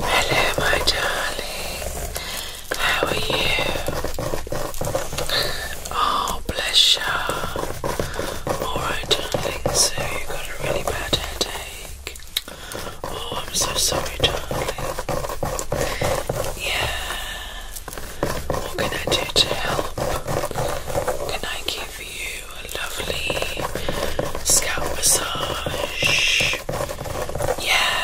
Hello, my darling. How are you? Oh, bless you. Alright, darling. So, you got a really bad headache. Oh, I'm so sorry, darling. Yeah. What can I do to help? Can I give you a lovely scalp massage. Yeah,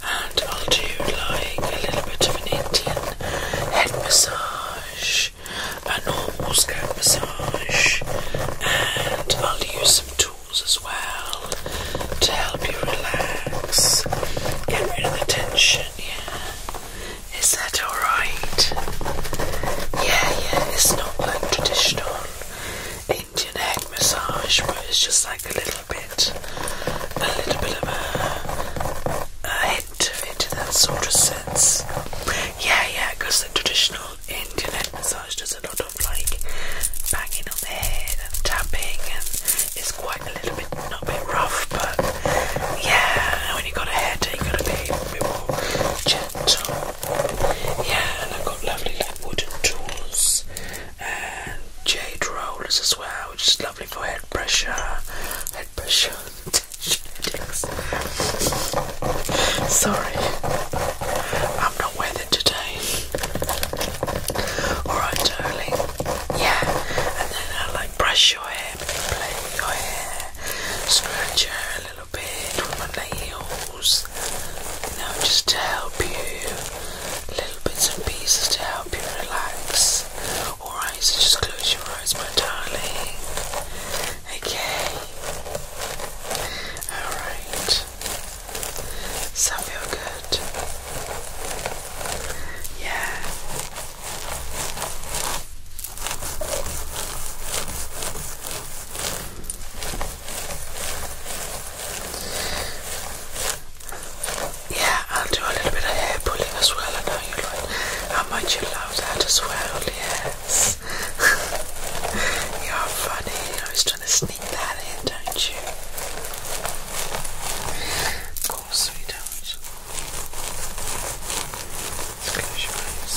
and I'll do like a little bit of an Indian head massage, a normal scalp massage, and I'll use some tools as well to help you relax, get rid of the tension. Yeah, is that alright? Yeah, yeah, it's not like traditional. Indian head massage where it's just like a little bit, a little bit of a, hint of it in that sort of sense. Yeah, yeah, because the traditional Indian head massage does a lot of like banging on the head and tapping, and it's quite a little bit, not a bit rough, but yeah, when you got a headache, you got to be a bit more gentle. Yeah, and I've got lovely like wooden tools and jade rollers as well, which is lovely for head pressure, head pressure. Sorry, I'm not weathered today. Alright, darling. Yeah, and then I like brush your hair, play with your hair, scratch your hair a little little with my nails, you know, just to help you, little bits and pieces to help you relax. Alright, so just close your eyes, my darling. Okay. Alright. Does feel good? Yeah. Yeah, I'll do a little bit of hair pulling as well. I know you like how much you love that as well. Yes, you're funny. I was trying to sneak that in, don't you? Of course we don't. close your eyes.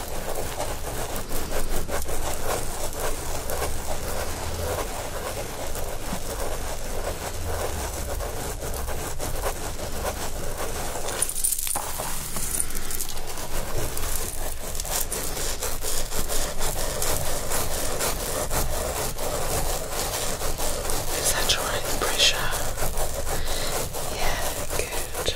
Is that your right pressure? Yeah, good.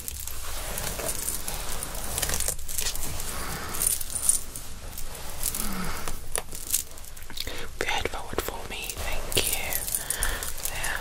Go forward for me, thank you. There.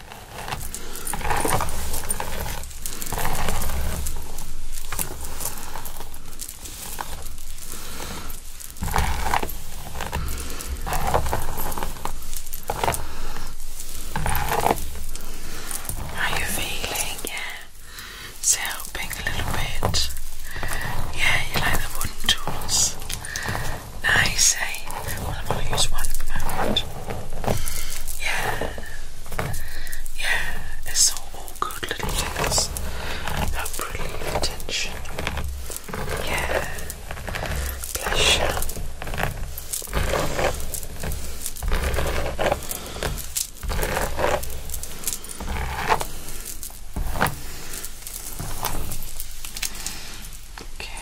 How you feeling? Yeah, it's helping a little bit. Yeah, you like the wooden tools. Nice, eh? Well, I've only used one at the moment. Yeah. Yeah, it's all, good little things that bring attention. Yeah. Pleasure. Okay.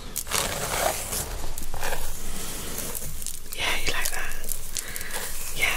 Yeah, you like that? Yeah.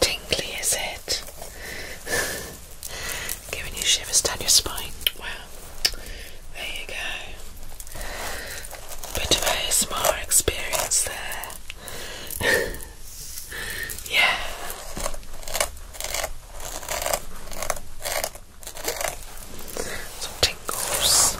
Tingly, is it? Giving you shivers down your spine. Wow. There you go. Bit of a small experience there. yeah. Some tingles.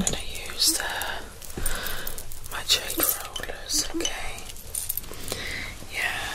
I'm going to use the my jade rollers, okay? Yeah.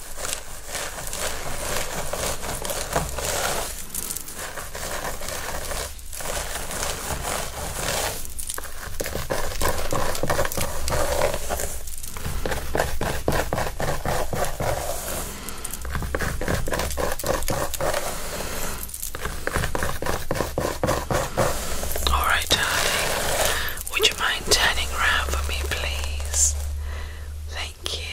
All right, Would you mind turning around for me, please? Thank you.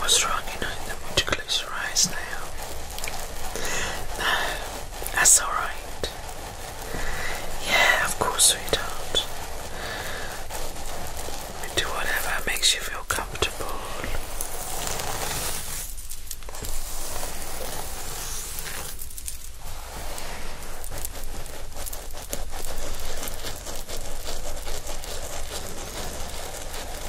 What's wrong? You know, you want to close your eyes now. No, that's alright. Yeah, of course, We Do whatever makes you feel comfortable.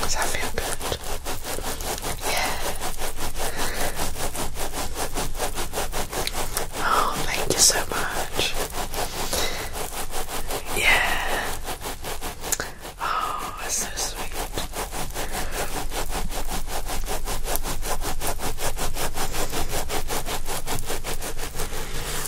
Does that feel good? Yeah. Oh, thank you so much. Yeah. Oh, it's so sweet.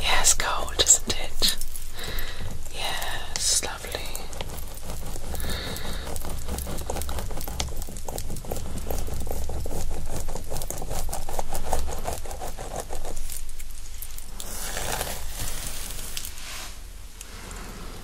Yes, cold, isn't it? Yes, lovely.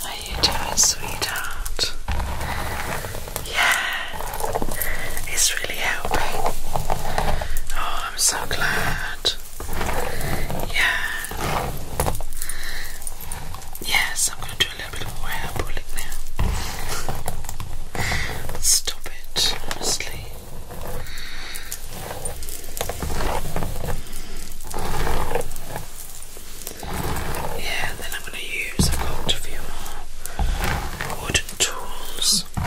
How you doing, sweetheart? Yeah, it's really helping. Oh, I'm so glad. Yeah. Yes, I'm going to do a little bit more hair pulling now. Stop it, honestly. Yeah, then I'm going to use a lot of wood tools. Yeah.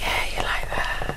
Yeah, you like that.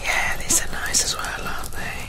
Yeah, these are nice as well, aren't they?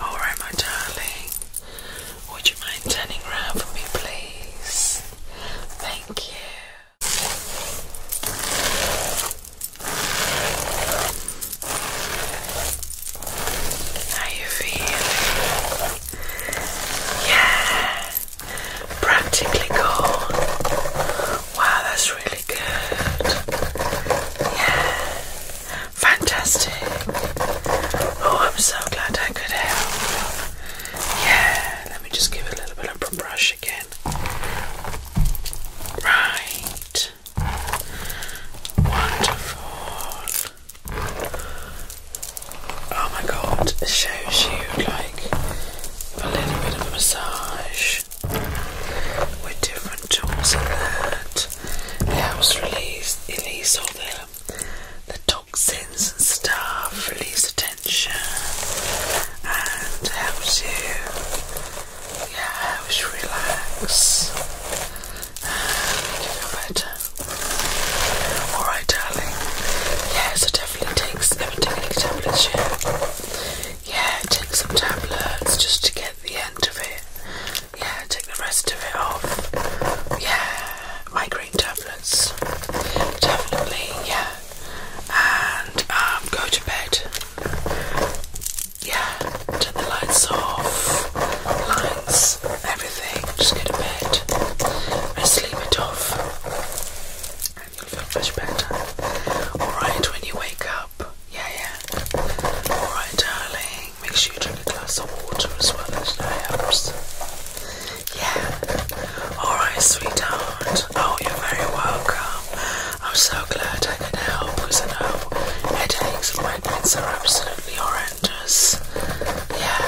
Alright, my darling. Would you mind turning around for me, please? Thank you. How you feeling? Yeah, practically gone. Wow, that's really good. Yeah, fantastic. Oh, I'm so glad I could help. Yeah, let me just give it a little bit of a brush again. Right. Wonderful. Oh my god, shows you like a little bit of massage with different tools and that helps release, release all the, toxins and stuff, release the tension and helps you, yeah, helps relax you feel better. Alright darling, yeah, so definitely takes, let me a little tablet here. Yeah, take some tablets just to get the end of it. Yeah, take the rest of it off. Yeah, migraine tablets. Definitely, yeah. And um, go to bed. Yeah, turn the lights off, lights, everything. Just go to bed and sleep it off. And you'll feel much better. Alright, when you wake up, yeah, yeah. Alright, darling. Make sure you drink a glass of water as well, that helps. Yeah. Alright, sweetheart. Oh, you're very welcome. I'm so glad I could help because I know headaches and migraines are absolutely horrendous. Yeah.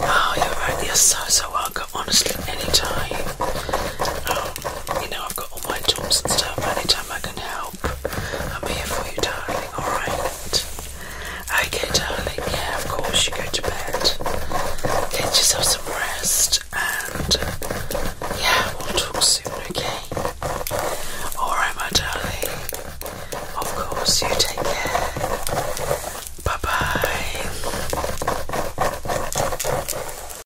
Oh, you're right. You're so, so welcome. Honestly, anytime. Oh, you know, I've got all my tools and stuff. Anytime I can help, I'm here for you, darling. All right. Okay, darling. Yeah, of course. You go to bed. Get yourself some rest, and yeah, we'll talk soon. Okay. All right, my darling. Of course. You take care. Bye bye.